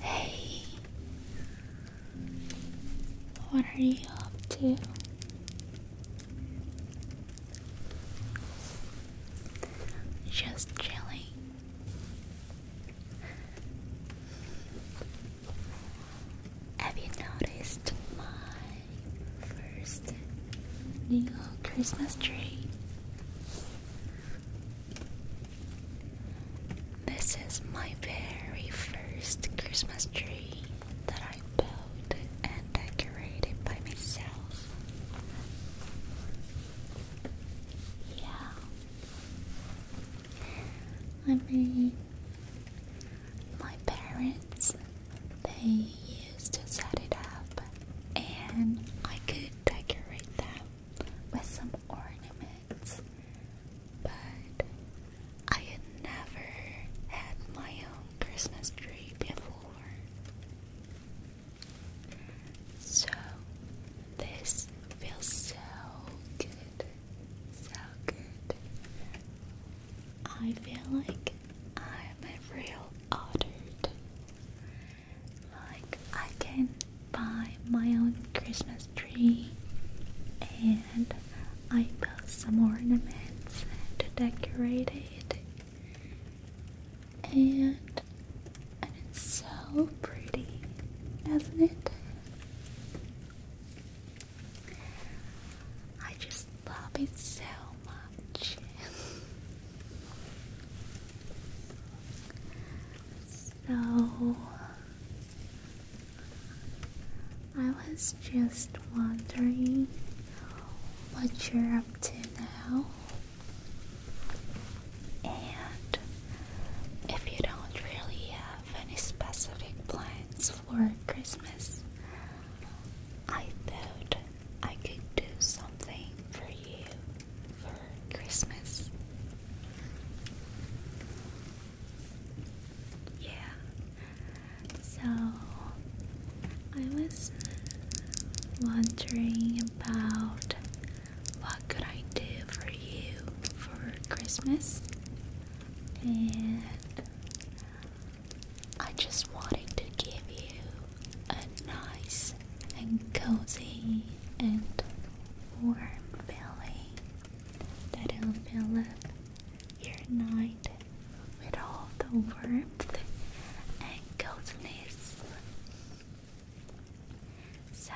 Hey, what are you up to? Just chilling. Have you noticed my first neon Christmas tree? This is my very first Christmas tree that I built and decorated by myself. Yeah. I mean, my parents, they used to set it up and I could decorate them with some ornaments, but I had never had my own Christmas tree before. So, this feels so good, so good. I feel like I'm a real adult. Like, I can buy my own Christmas tree and I built some ornaments to decorate it and and it's so pretty, doesn't it? I just love it so much. so I was just wondering what you're up to now. And if you don't really have any specific plans for Christmas, I thought I could do something for you for Christmas. Yeah, so I was wondering about what could I do for you for Christmas and I just wanted to give you a nice and cozy and warm feeling that'll fill up your night with all the warmth and coziness. So,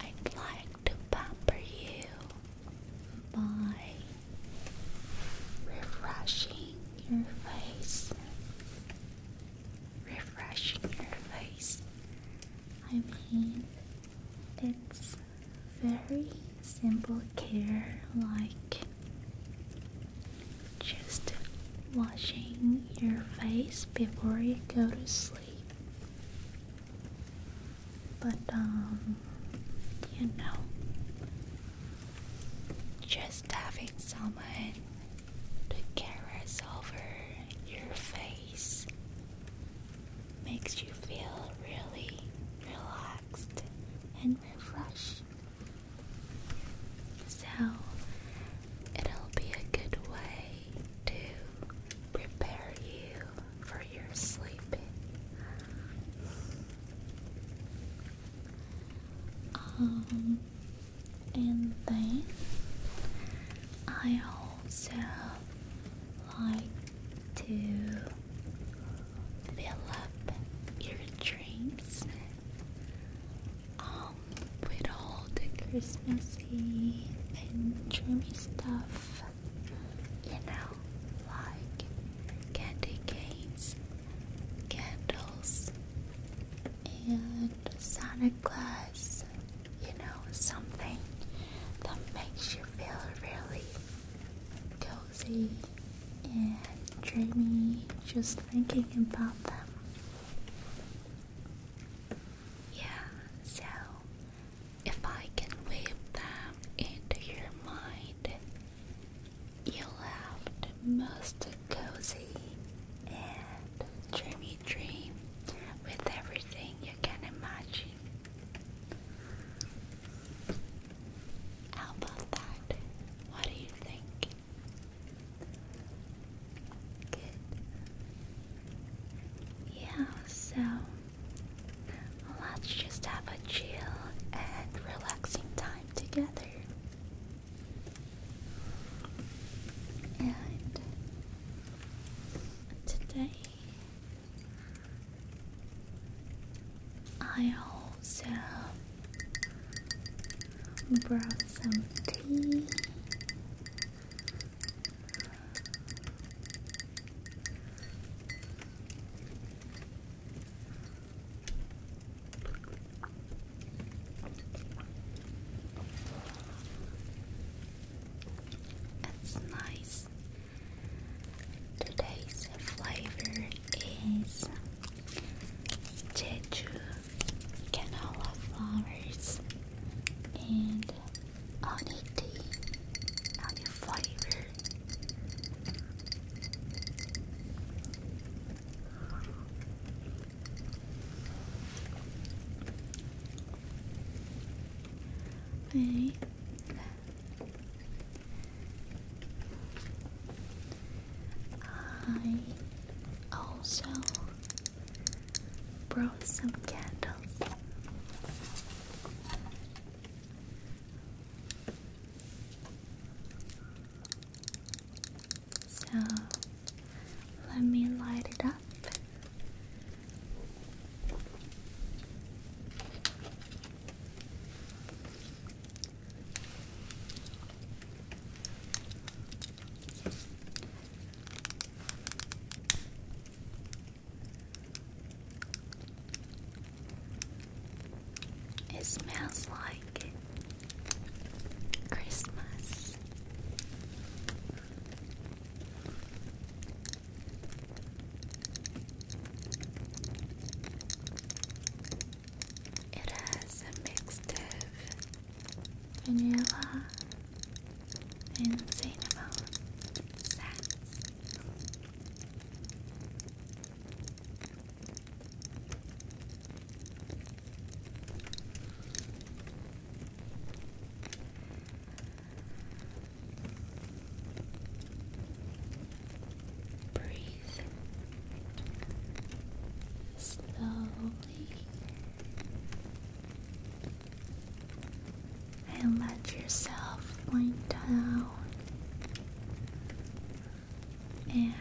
I'd like to pamper you by refreshing your face. Refreshing your face. I mean, it's very simple care like just washing your face before you go to sleep. But, um, you know, just having someone to caress over your face makes you feel really relaxed and refreshed. So it'll be a good way to prepare you for your sleeping. Um, and then I also like to fill up your dreams with um, all the Christmassy and dreamy stuff. You know, like candy canes, candles, and Santa Claus. You know, something that makes you feel really. Go cozy and dreamy just thinking about them. Yeah, so if I can wave them into your mind, you'll have the most cozy and dreamy dream with everything you can imagine. How about that? What do you think? Yeah, so let's just have a chill and relaxing time together. And today I also Brought some tea. It's nice. Today's flavor is Jeju canola flowers and honey tea, honey flavor. Okay. I also brought some candles. So let me light it up. It smells like Christmas. It has a mix of vanilla and cinnamon Breathe slowly and let yourself wind down and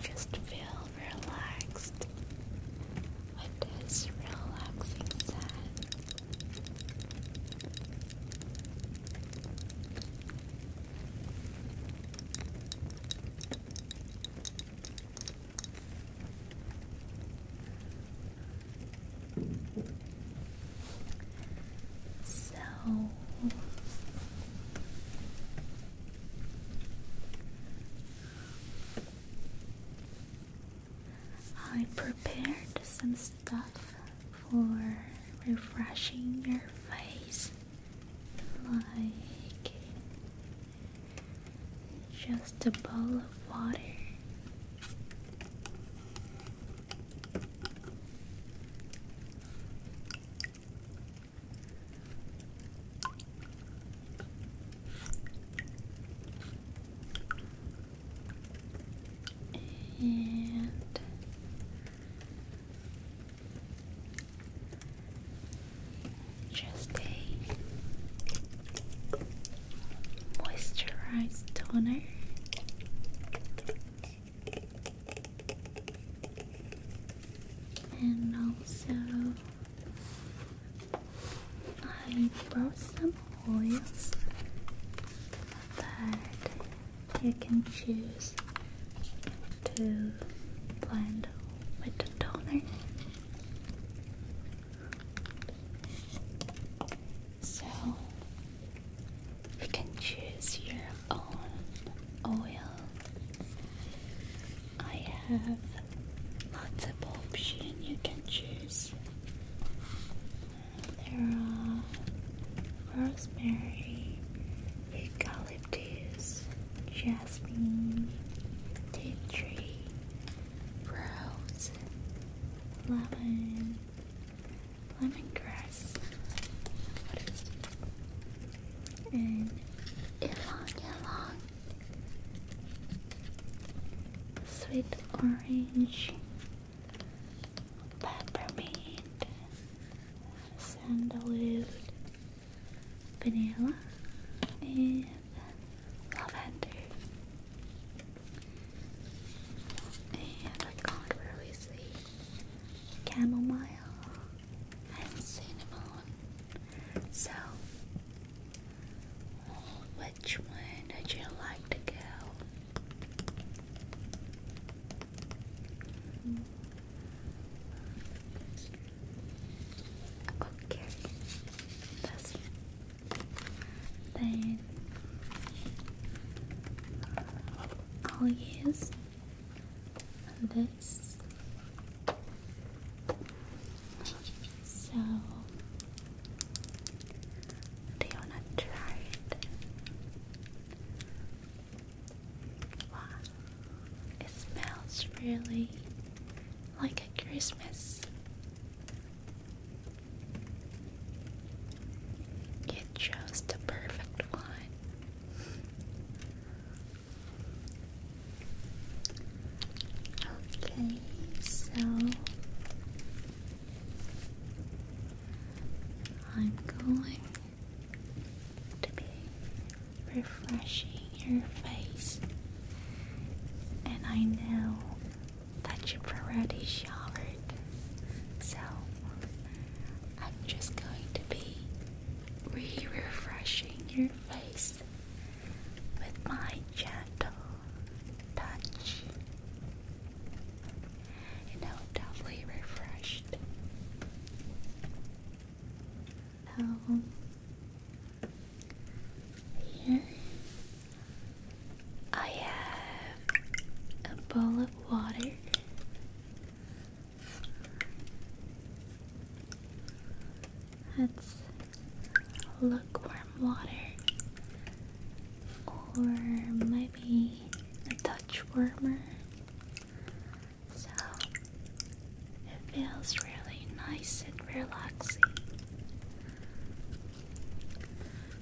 just feel relaxed with this relaxing sound. So I prepared some stuff for refreshing your face like just a bowl of water. And just a moisturized toner. And also, I brought some oils that you can choose to blend with the toner. So you can choose your own oil. I have lots of options you can choose. There are rosemary, eucalyptus, jasmine, tea tree, rose, lemon, lemongrass. And yellow, yellow, sweet orange, peppermint, sandalwood, vanilla, and lavender. And I can't really see chamomile and cinnamon. So, which one did you like to go? Okay, that's Then I'll use this. So do you Wow. It smells really like a Christmas. You chose the perfect one. Okay, so I'm going to be refreshing your face. And I know that you've already showered, so I'm just going to be re refreshing your face with my gentle touch you know, doubly refreshed. So um, here I have a bowl of water. That's lukewarm water, or maybe a touch warmer. So it feels really nice and relaxing.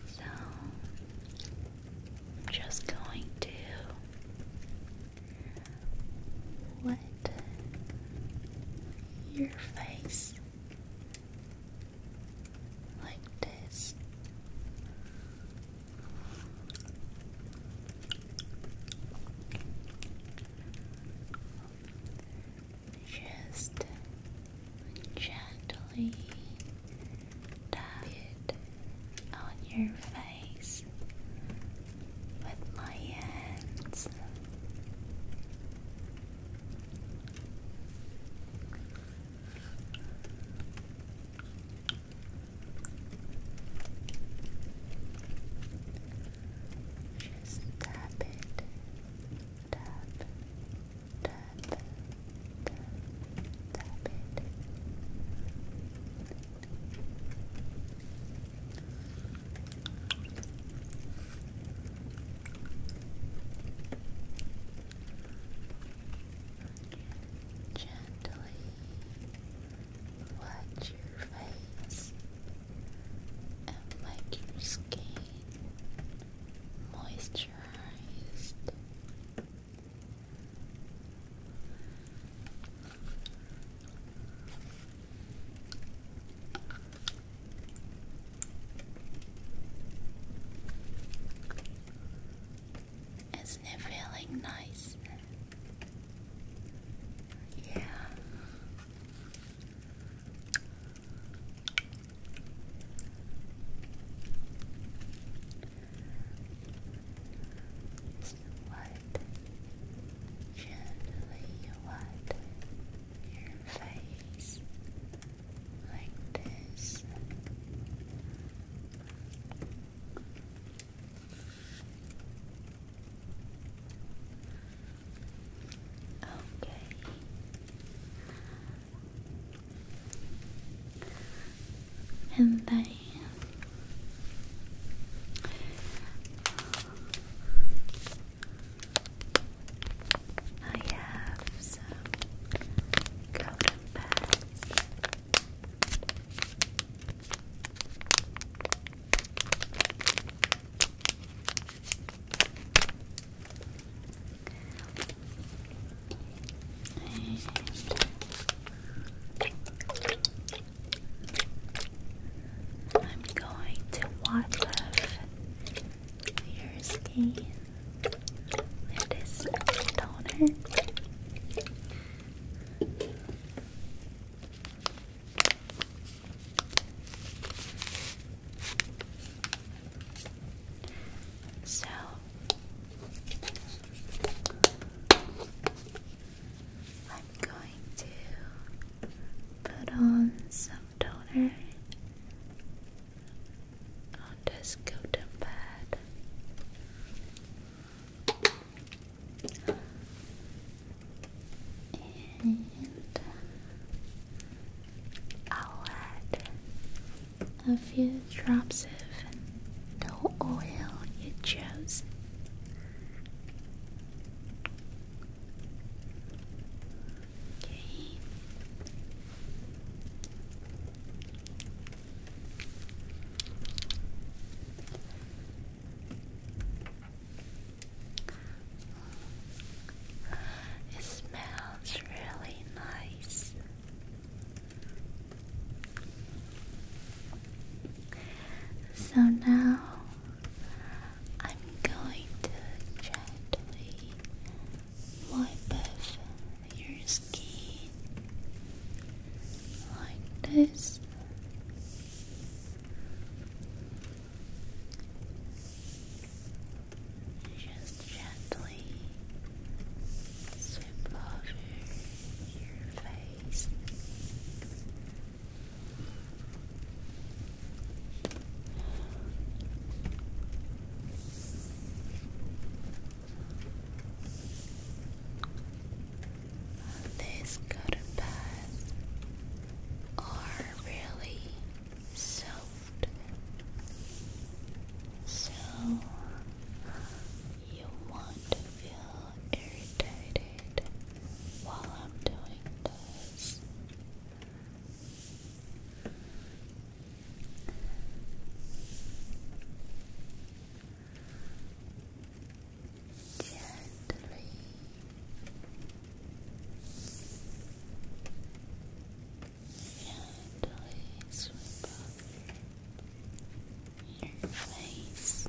So I'm just going to let your face like this just gently tap it on your face with my hands. Just tap it. Tap, tap, tap, tap it. Gently watch your face and make your skin moisturized. As isn't it feeling nice? Yeah. Just wipe gently wipe your face like this. Okay. And then I have some golden pads I'm going to wash your skin. It is toner. So I'm going to put on some toner I'll just go to bed. And I'll add a few drops of the oil you chose. Okay. It smells really nice. So now I'm going to gently wipe your skin like this. Just gently sweep over your face on this are really soft, so you want to feel irritated while I'm doing this. Gently. Gently sweep your face.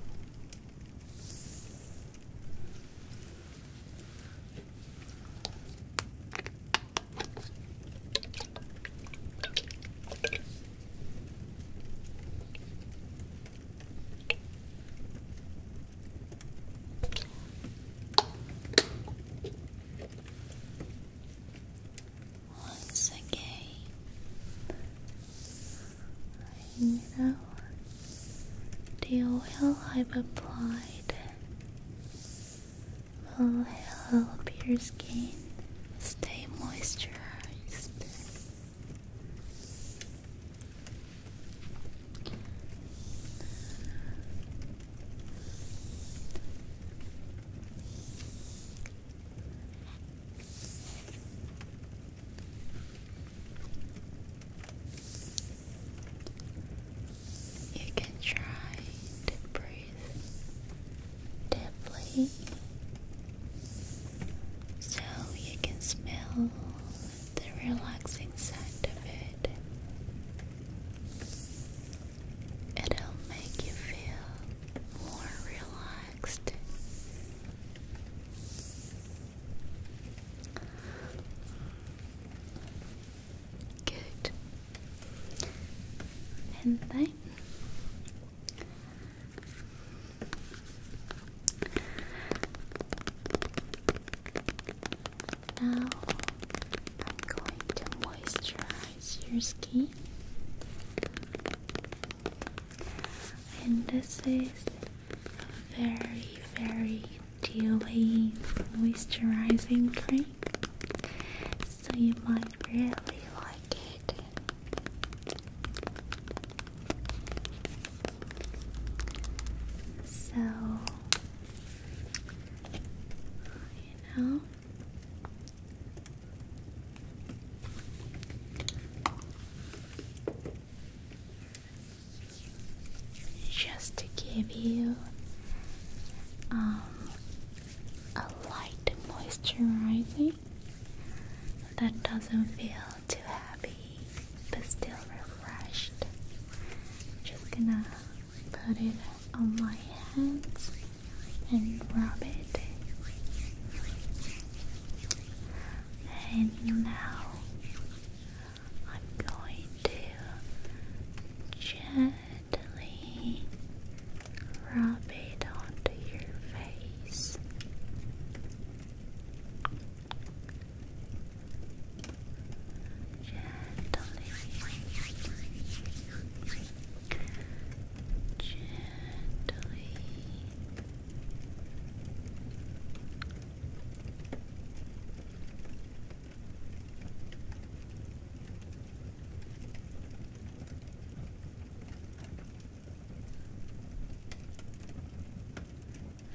Once again, you know, the oil I've applied will help your skin stay moisturized. You can try to breathe deeply so you can smell the relaxing scent of it. It'll make you feel more relaxed. Good. And then now I'm going to moisturize your skin. And this is a very, very dewy moisturizing cream so you might really like it. So, you know, just to give you um, a light moisturizing that doesn't feel too heavy but still refreshed. I'm just gonna put it on my hands and rub it. And now I'm going to just gently rub it onto your face. Gently, gently.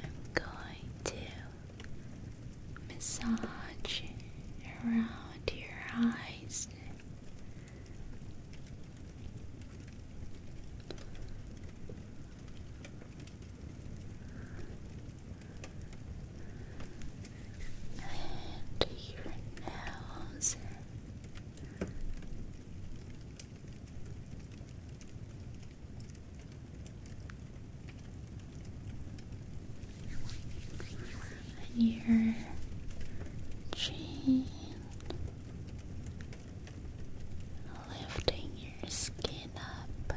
I'm going to massage around your eyes and your nose. And your chin, lifting your skin up.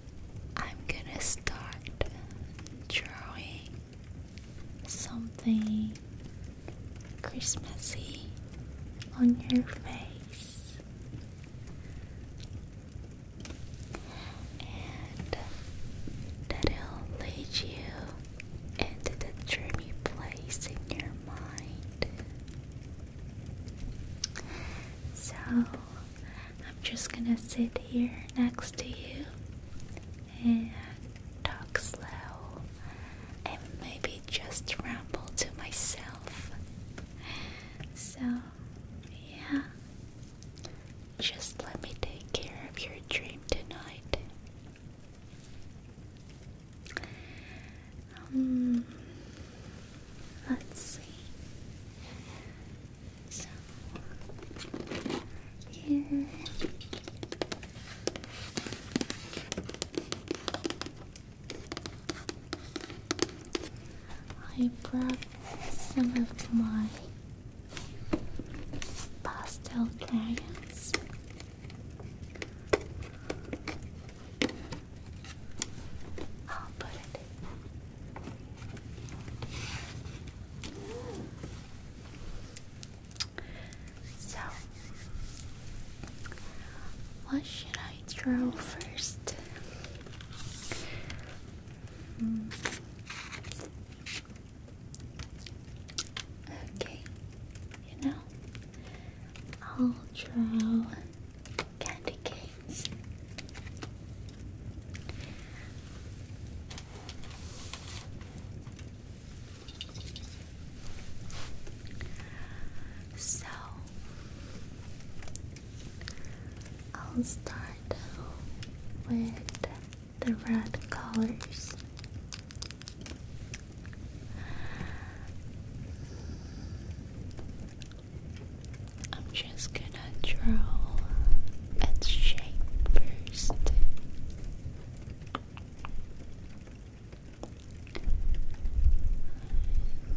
I'm gonna start drawing something Christmassy on your face. And that'll lead you into the dreamy place in your mind. So I'm just gonna sit here next to you and talk slow and maybe just ramble to myself. So, yeah, just let me take care of your dream tonight. Um, Let's see. So here. I brought some of my pastel crayons. I'll put it so, what should I draw first? Hmm. Okay, you know, I'll draw candy canes. So I'll start with the red colors. I'm just gonna draw its shape first.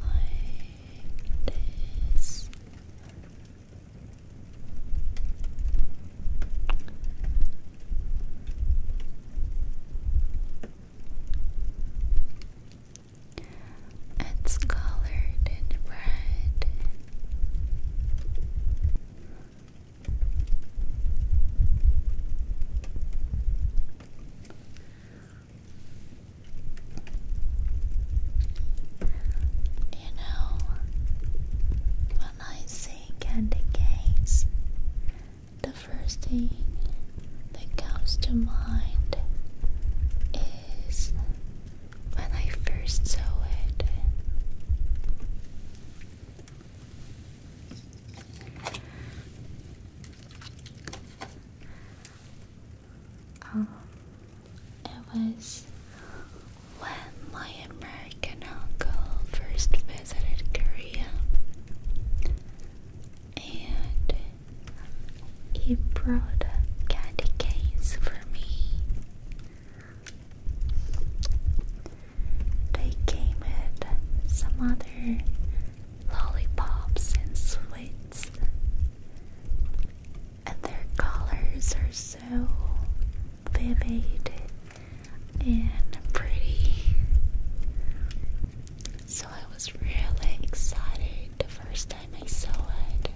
Like this. It's colored in red. You know, when I see candy canes, the first thing that comes to mind is when I first saw it. Um, it was when my American uncle first visited Korea and he brought candy canes for me. They came with some other lollipops and sweets, and their colors are so vivid and pretty. So I was really excited the first time I saw it.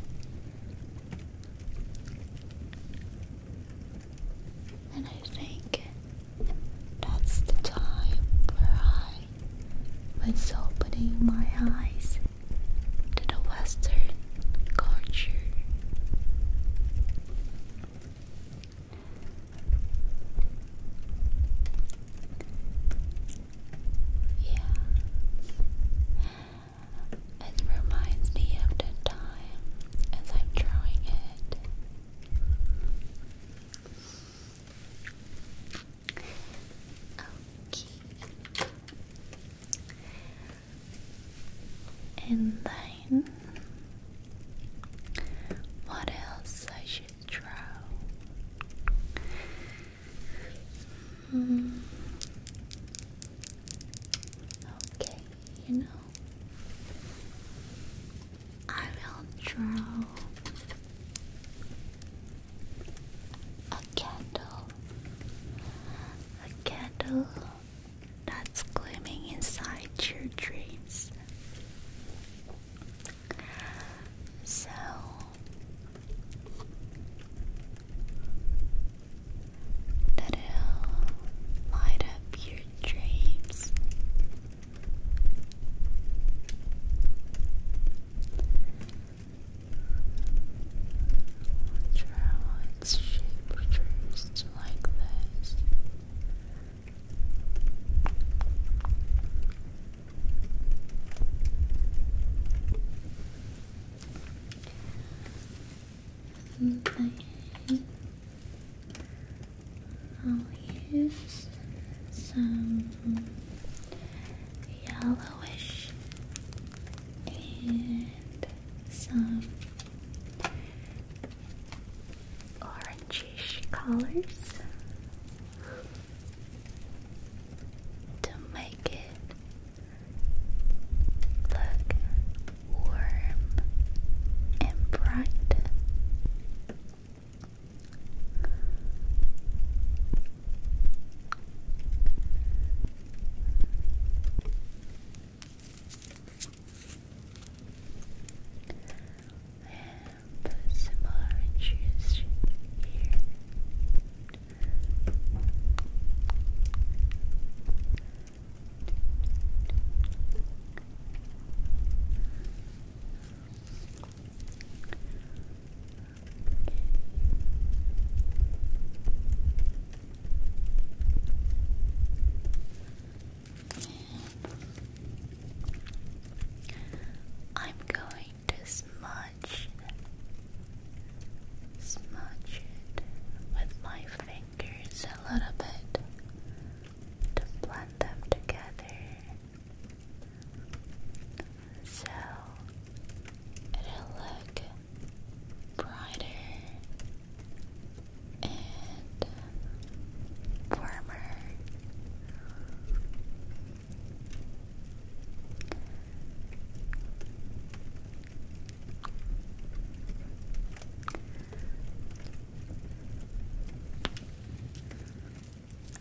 And I think that's the time where I was opening my eyes to the Western culture. Yeah. It reminds me of the time as I'm drawing it. Okay. And then what else I should draw? Mm. Okay, you know, I will draw a candle, a candle that's gleaming inside your dreams. So that'll light up your dreams. Draw its shape first like this. I'll use some yellowish and some orangish colors to make it look warm and bright. And put some orange here. I'm going going to smudge with my fingers a little bit to blend them together so it'll look brighter and warmer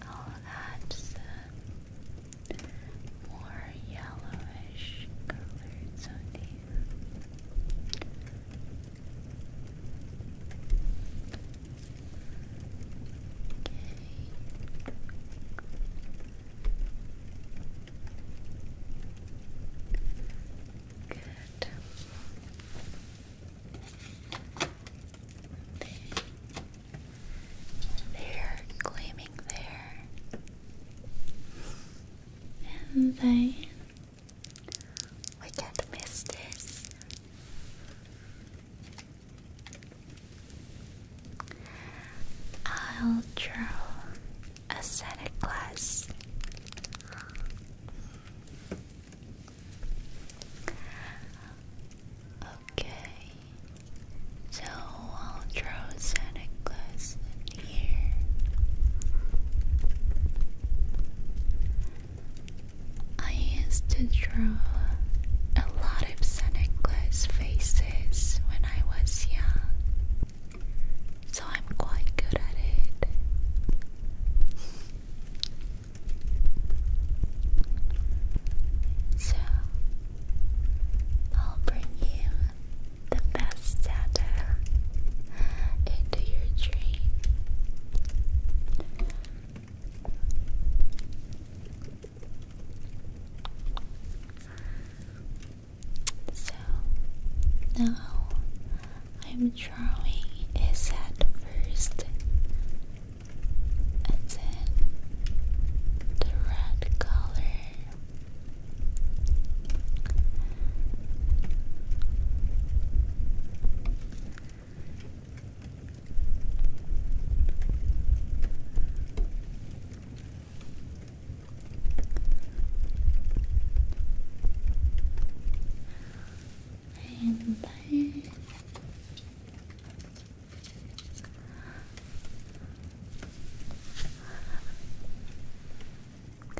I'll add some more yellowish colors on these. Good. gleaming there. And then we can't miss this. I'll draw a set of Okay, so I'll draw Santa Claus here. I used to draw a lot clips and necklace faces when I was young, so I'm quite good at it. So, I'll bring you the best data into your dream. So now I'm drawing a set first and then the red color. And back.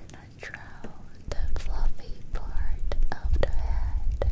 Gonna draw the fluffy part of the head.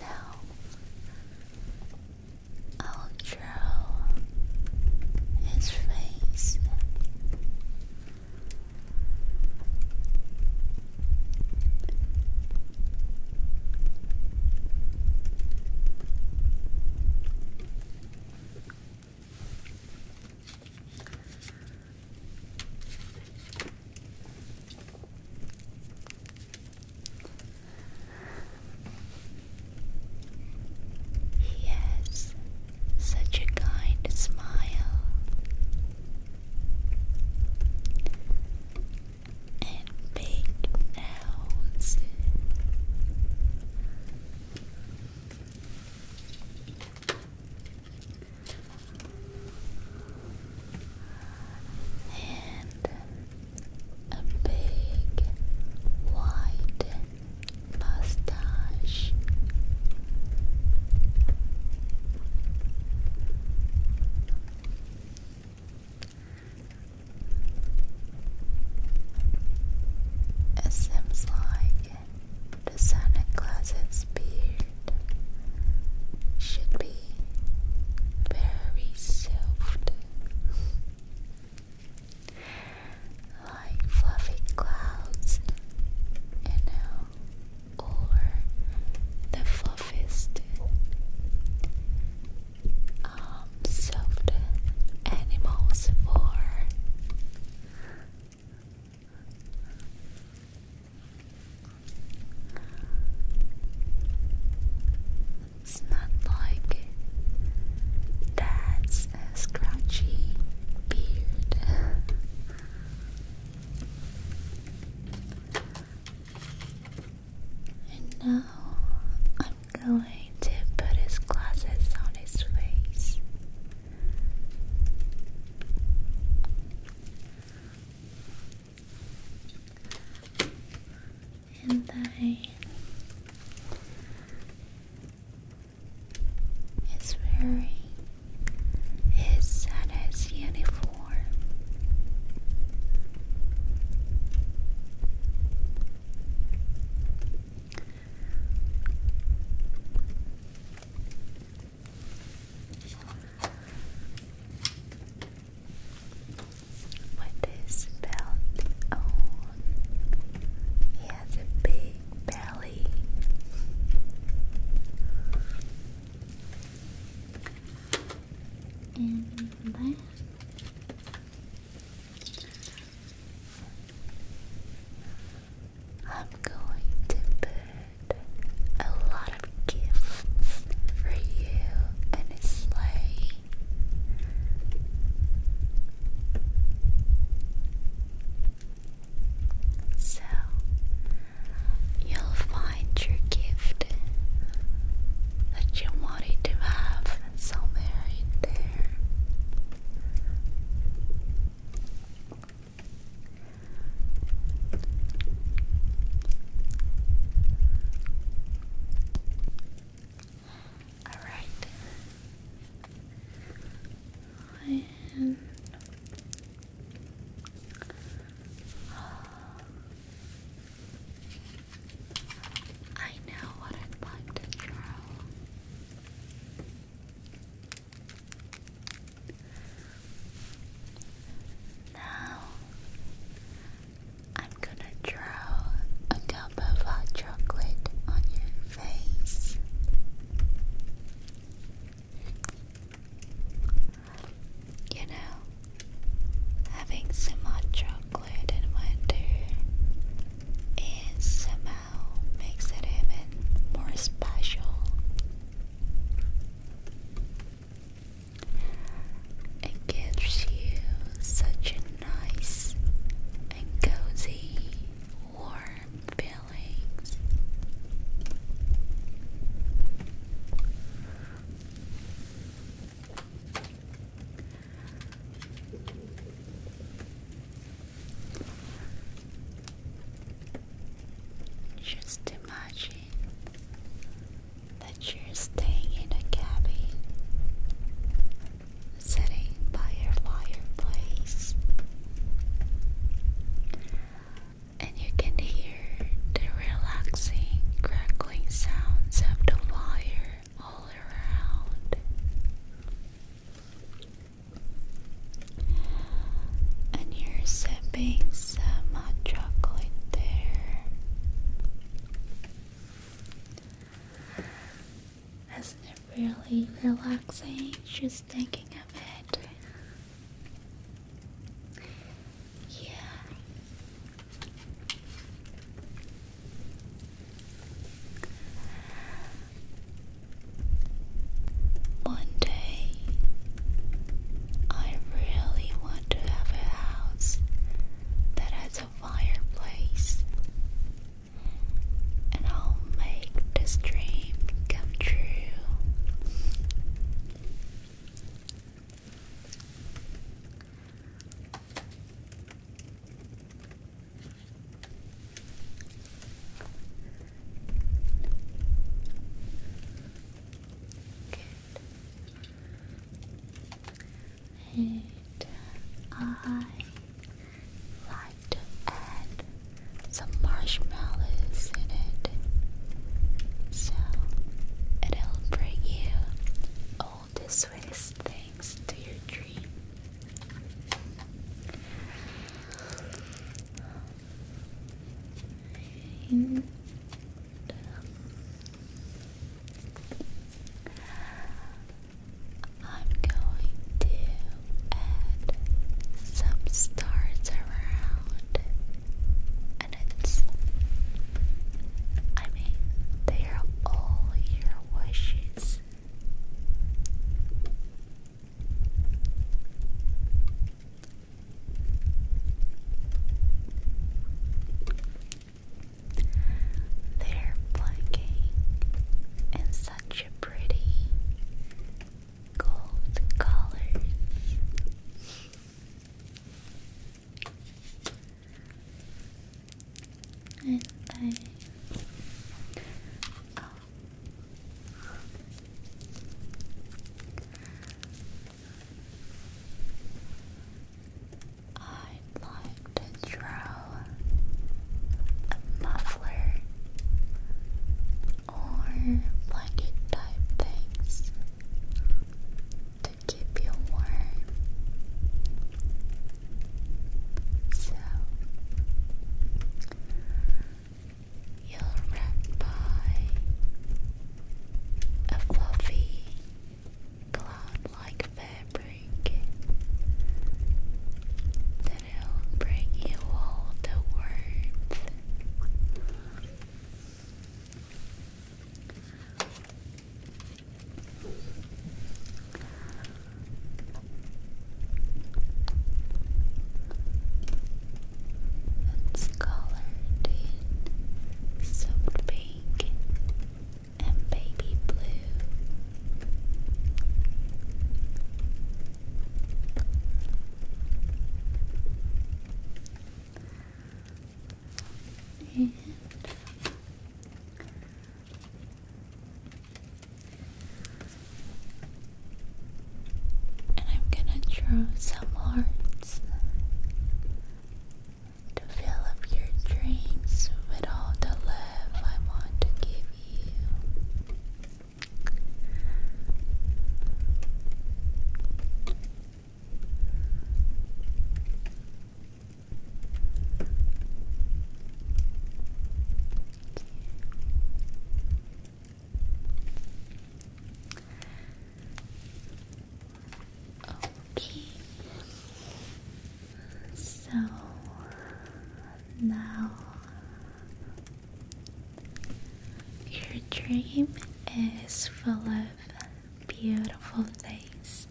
Now, I'll draw his face. He has such a kind smile and big nose and a big white mustache. It seems like the Santa Claus beard should be very soft, like fluffy clouds, you know, or the fluffiest, um, soft animals for. It's not like that's scratchy beard. and now I'm going to put his glasses on his face and I is wearing his Santa's uniform. What is belt on? He has a big belly. And I'm going to put a lot of gifts for you and a sleigh. So you'll find your gift that you wanted to have somewhere in there. All right. And I know what I'd like to draw. Now I'm gonna draw a cup of hot chocolate on your face. You know, having some hot chocolate in winter is somehow makes it even more special. It gives you such a nice and cozy, warm feeling. Just imagine that you're staying in a cabin sitting by your fireplace and you can hear the relaxing crackling sounds of the fire all around. And you're sipping some hot chocolate there. Isn't it really relaxing just thinking of it? Yeah. One day I really want to have a house that has a fireplace, and I'll make this dream come true. And I like to add some marshmallows in it. So it'll bring you all the sweetest things to your dream. I'm going to add some stars around, and it's, I mean, they are all your wishes. They're blinking in such a pretty gold colors. And I oh. I'd like to draw a muffler or blanket type things to keep you warm. So you're wrapped by a fluffy, cloud-like fabric that'll bring you all the warmth that's colored in soft pink and baby blue. And I'm gonna draw some hearts to fill up your dreams with all the love I want to give you. Okay. So now your dream is full of beautiful things,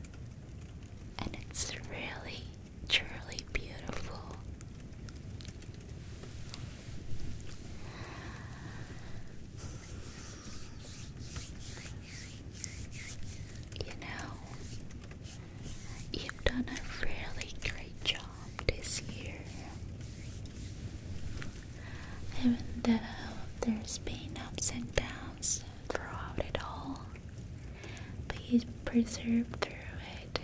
and it's really, truly beautiful. You know, you've done a really great job this year. Even though there's been ups and downs throughout it all, but you persevered through it,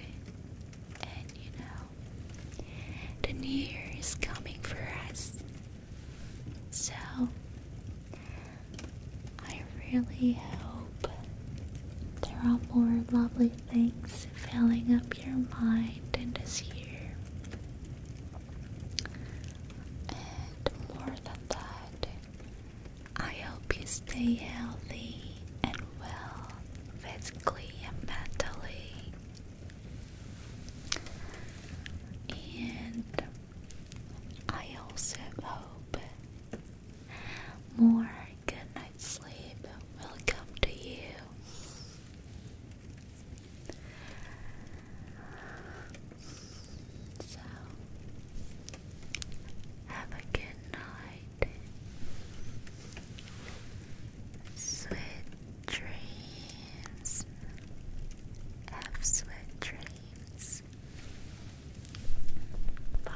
and you know, the new year is coming for us. So, I really hope there are more lovely things filling up your mind in this year. And more than that, I hope you stay healthy and well physically and mentally. And I also hope more good night's sleep will come to you. So, have a good night, sweet dreams. Have sweet dreams. Bye.